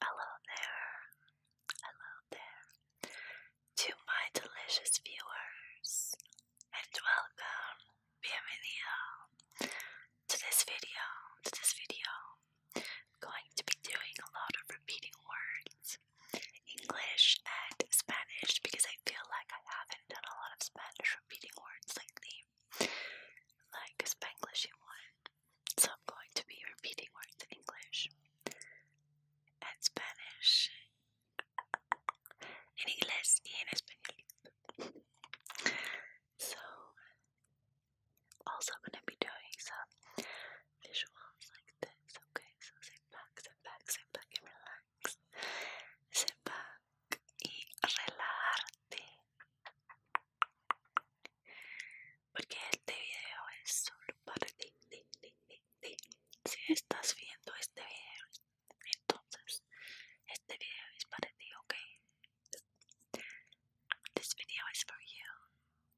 Hello there, hello there to my delicious viewers, and welcome, bienvenido to this video. To this video, I'm going to be doing a lot of repeating words, English and Spanish, because I feel like I haven't done a lot of Spanish repeating words lately like a Spanglishy one. So I'm going to be repeating words in English and Spanish. En inglés y en español. So, also going to be doing some visuals like this, okay? So sit back, sit back, sit back and relax. Sit back, y relajarte porque este video es solo para ti, ti, ti, ti, ti. si estás viendo este video entonces este video es para ti ok this video is for you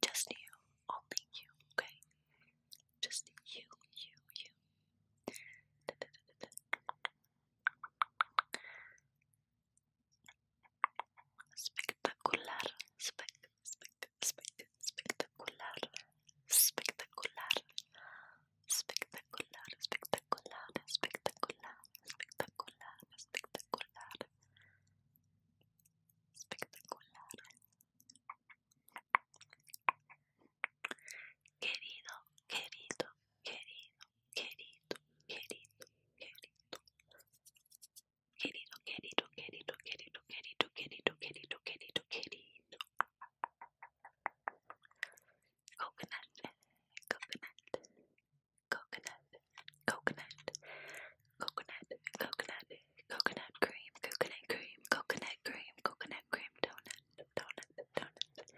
just you only you okay just you you you Espectacular, espect, espect, espect, espectacular, espectacular, espectacular, espectacular, espectacular, espectacular, espectacular, espectacular. Querido, querido, querido, querido, querido, querido, querido, querido, querido, querido, querido, querido, querido, querido, querido. Coconut, coconut, coconut, coconut, coconut, coconut, coconut cream, coconut cream, coconut cream, coconut cream, donut, donut, donut,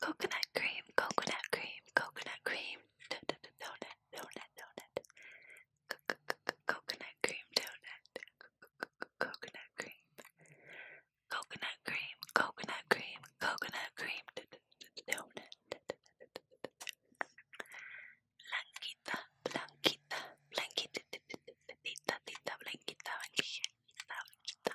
Coconut cream, coconut cream, coconut cream, donut, donut, donut, donut. C -c -c coconut cream donut, C -c coconut cream, coconut cream, coconut cream, coconut cream, donut. Blanquita, blanquita, blanquita, tita, tita, blanquita, blanquita, blanquita.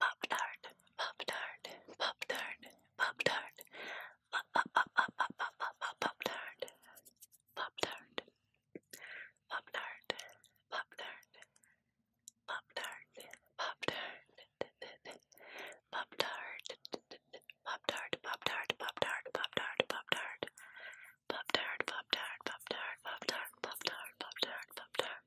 Pop tart, pop tart, pop tart, pop tart, pop pop pop pop pop pop pop pop tart, pop tart, pop tart, pop tart, pop tart, pop tart, pop tart, pop tart, pop tart, pop tart, pop tart, pop tart. Pop tart, pop tart, pop tart, pop tart, pop tart, pop tart, pop tart.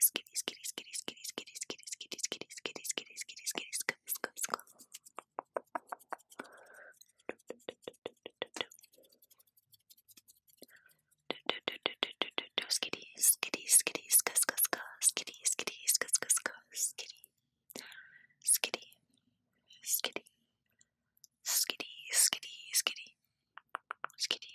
skitty, skitty, skitty, skitty, skitty, skitty, skitty, skitty, skitty, skitty, skitty, skitty, scoop, scoop, scoop. Skitty, skitty, skitty, ska, ska, ska, skitty, skitty, ska, ska, ska, skitty, skitty, skitty, skitty, skitty, skitty, skitty,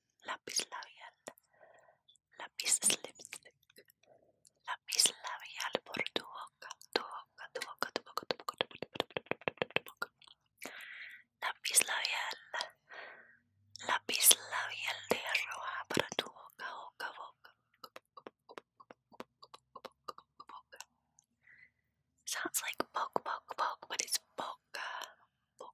lapis labial, lapis lipstick, lapis labial por tu boca, tu boca, tu boca, tu boca, tu boca, tu boca, tu boca, tu boca, lapis labial, lapis labial de roja para tu boca, boca, boca. Sounds like poke, poke, poke, but it's boca, boca,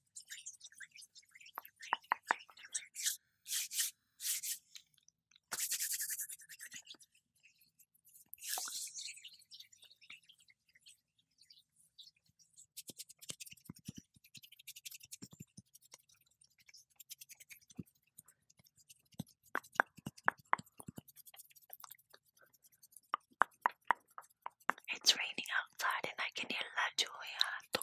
It's raining outside and I can hear La Julia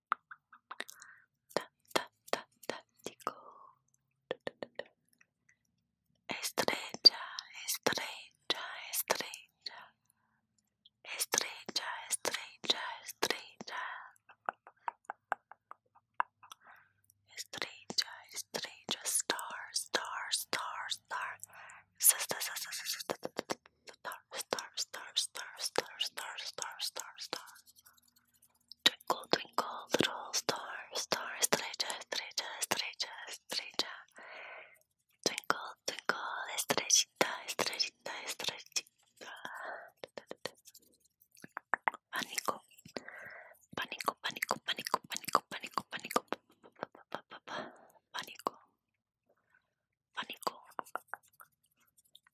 Estrecha, estrecha, estrecha. Estrecha, estrecha, estrecha. Estrecha, estrecha, star, star, star, star. Star, star, star, star, star, star, star, star, star. Twinkle, twinkle, little star, star, estrella, estrella, estrella, estrella. Twinkle, twinkle, estrellita, estrellita, estrellita. Pánico, pánico, pánico, pánico, pánico, pánico, pánico, pánico, pánico,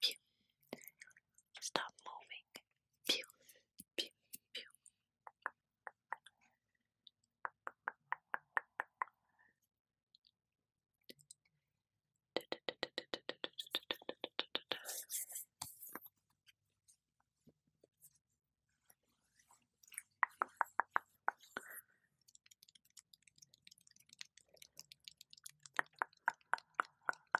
Pew. Stop moving. Pew. Pew. Pew.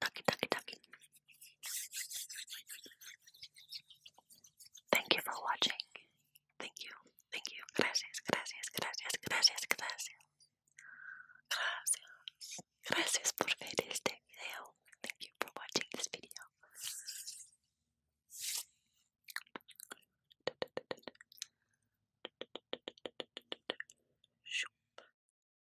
Ducky, ducky, ducky. Thank you for watching. Thank you, thank you. Gracias, gracias, gracias, gracias, gracias. Gracias. Gracias por ver este video. Thank you for watching this video.